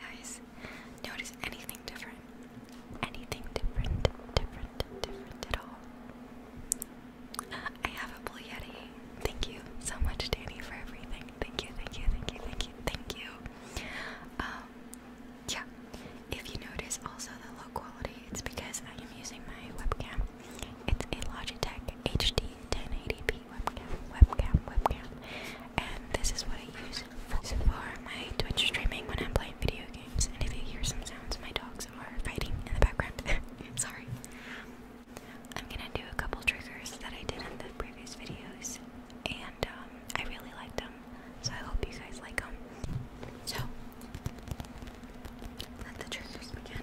guys notice anything different anything different different different at all I have a blue yeti thank you so much Danny for everything thank you thank you thank you thank you thank you um yeah if you notice also the low quality it's because I am using my webcam it's a Logitech HD 1080p webcam webcam webcam and this is what I use for my Twitch streaming when I'm playing video games. And if you hear some sounds, my dogs are fighting in the background. Sorry. I'm gonna do a couple triggers that I did in the previous videos, and um, I really liked them, so I hope you guys like them. So, let the triggers begin.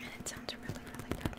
And it sounds really, really good.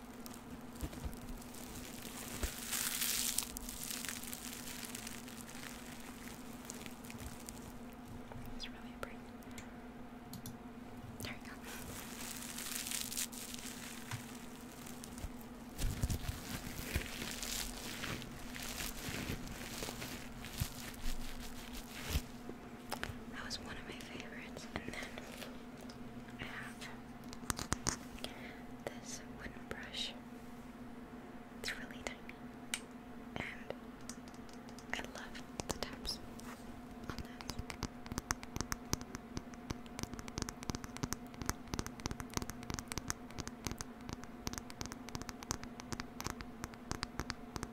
It's really pretty. There we go. That was one of my favorites. And then I have this wooden brush. It's really tiny. And I love the taps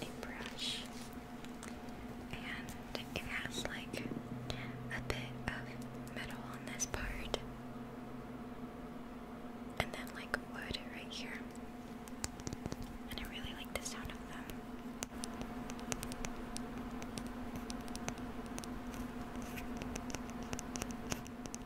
a brush, and it has like a bit of metal on this part, and then like wood right here. And I really like the sound of them.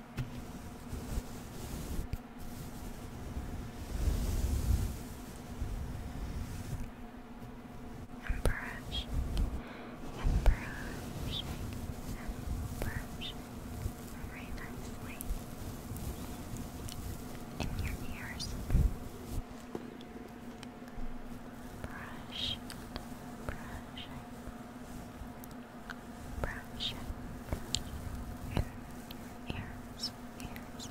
and brushing and brushing and in your ears. Brush, brushing, brush, brush, ears, ears.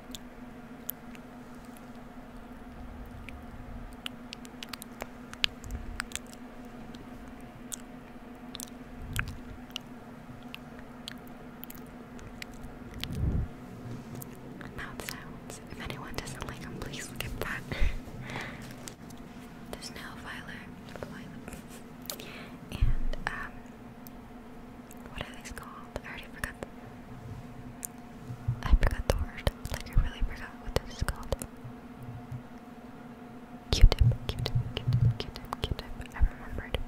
Mouth sounds. If anyone doesn't like them, please skip that. There's no violet, violet. and um, what are these called? I already forgot. I forgot the word. Like I really forgot what this is called. Q-tip, Q-tip, Q-tip, Q-tip, Q-tip. I remembered.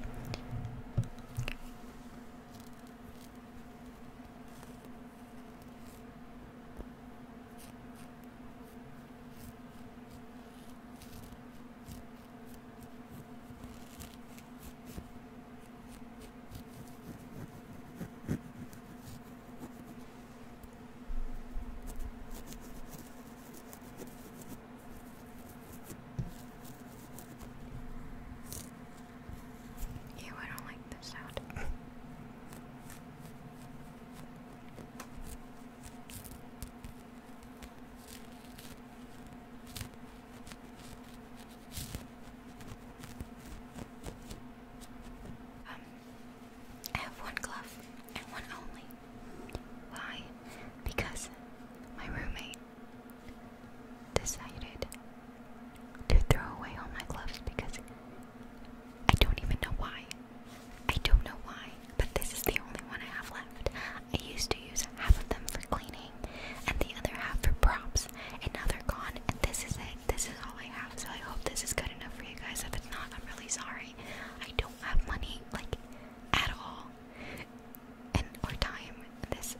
Ew, I don't like this sound. Um, I have one glove and one only. Why? Because my roommate decided to throw away all my gloves because I don't even know why. I don't know why, but this is the only one I have left. I used to use half of them for cleaning and the other half for props, and now they're gone. And this is it. This is all I have. So I hope this is good enough for you guys. If it's not, I'm really sorry. I don't have money, like, at all, and or time. This,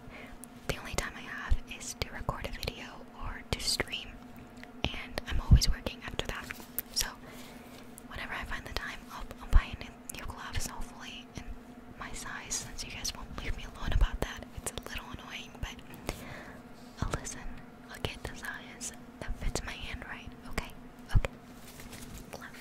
the only time I have is to record a video or to stream, and I'm always working after that. So whenever I find the time, I'll, buy new, new gloves, hopefully, in my size, since you guys won't leave me alone about that. It's a little annoying, but I'll listen. I'll get the size that fits my hand right, okay? Okay. Love.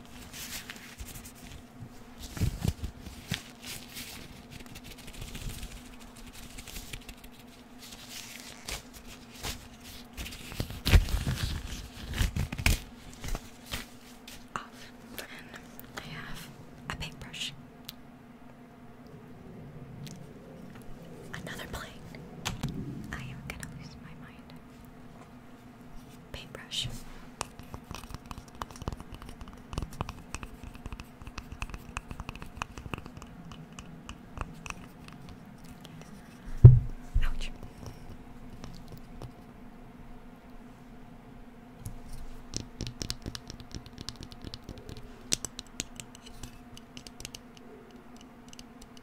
Off. I have a paintbrush. Another plate. I am gonna lose my mind paintbrush. Ouch.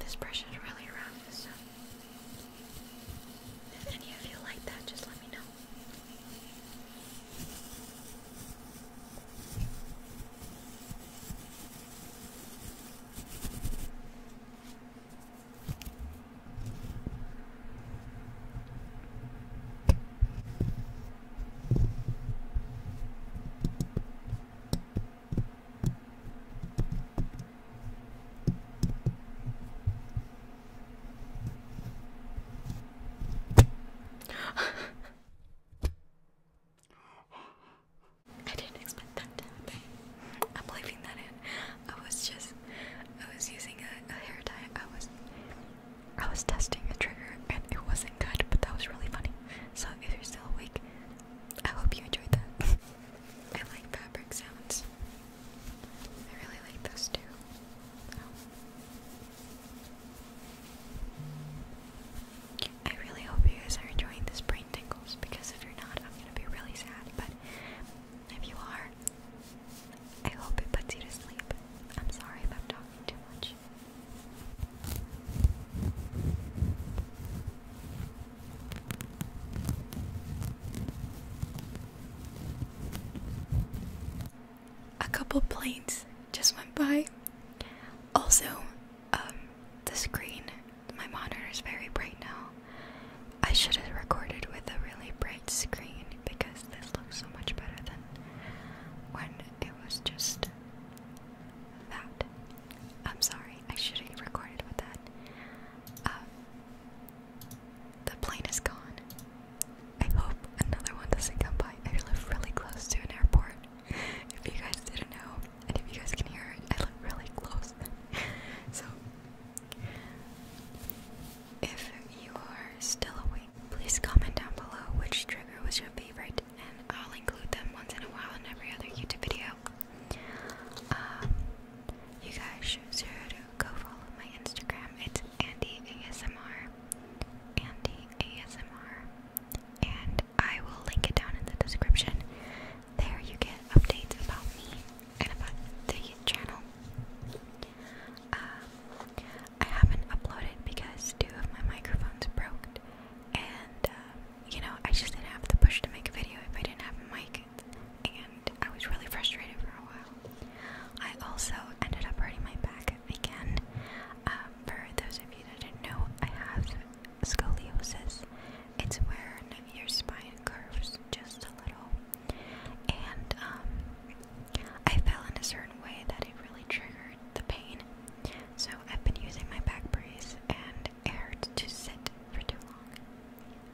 This brush is really round, so if any of you like that, just let me know. I didn't expect that to happen. I'm leaving that I was just I was using a, hair tie. I was I was testing a trigger and it wasn't good, but that was really funny. So if you're still awake, I hope you enjoyed that. I like fabric sounds. I really like those too. I really hope you guys are enjoying this brain tingles because if you're not, I'm gonna be really sad. But if you are, I hope it puts you to sleep. I'm sorry if I'm talking too much. A couple planes just went by. Also, um, the screen, my monitor is very bright now. I should have recorded with a really bright screen because this looks so much better than when it was just that. I'm sorry, I should have recorded with that. Uh, the plane is gone. I hope another one doesn't come by. I live really close to an airport. If you guys didn't know, and if you guys can hear it, I live really close. so if you are still awake, please comment down below which trigger was your favorite, and I'll include them once in a while in every other YouTube video. Um, you guys should sure to go follow my Instagram. It's Andy ASMR, Andy ASMR, and I will link it down in the description. There you get updates about me and about the channel. Uh, I haven't uploaded because two of my microphones broke, and uh, you know I just didn't have the push to make a video if I didn't have a mic, and I was really frustrated for a while. I also ended up hurting my back again. Um, for those of you that didn't know, I have scoliosis, it's where your spine curves just a little. And um, I fell in a certain way that it really triggered the pain. So I've been using my back brace and it to sit for too long.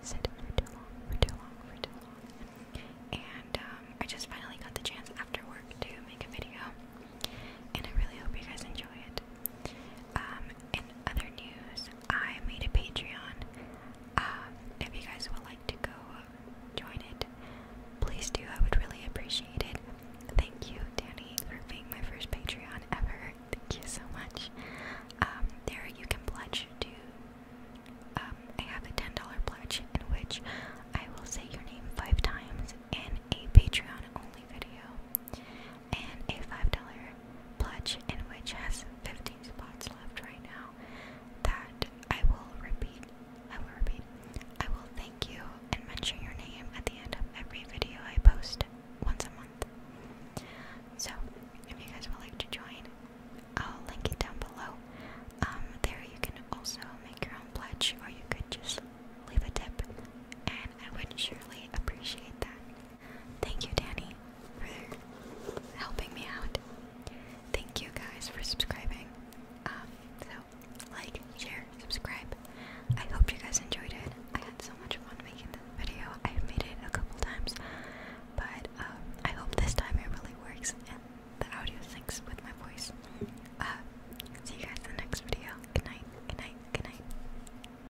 Sit for too long, for too long, for too long. And um, I just finally got the chance after work to make a video. And I really hope you guys enjoy it. Um, in other news, I made a Patreon. Uh, if you guys would like to go join it, please do. I would really appreciate it. Thank you, Danny, for being my first Patreon ever. Thank you so much. Um, there you can pledge to. Um, I have a ten dollar pledge in which I will say your name five times in a Patreon only video and a $5 pledge in which has 15 spots left right now that I will repeat. I will repeat. I will thank you and mention your name at the end of every video I post once a month. So, if you guys would like to join, I'll link it down below. Um, there you can also make your own pledge, or you could just leave a tip, and I would surely appreciate that. Thank you, Danny, for helping me out. Thank you guys for subscribing. Um, so, like, share, subscribe. I hope you guys enjoyed it. I had so much fun making this video. I've made it a couple times, but um, I hope this time it really works and the audio syncs with my voice. Uh, see you guys in the next video. Good night, good night, good night.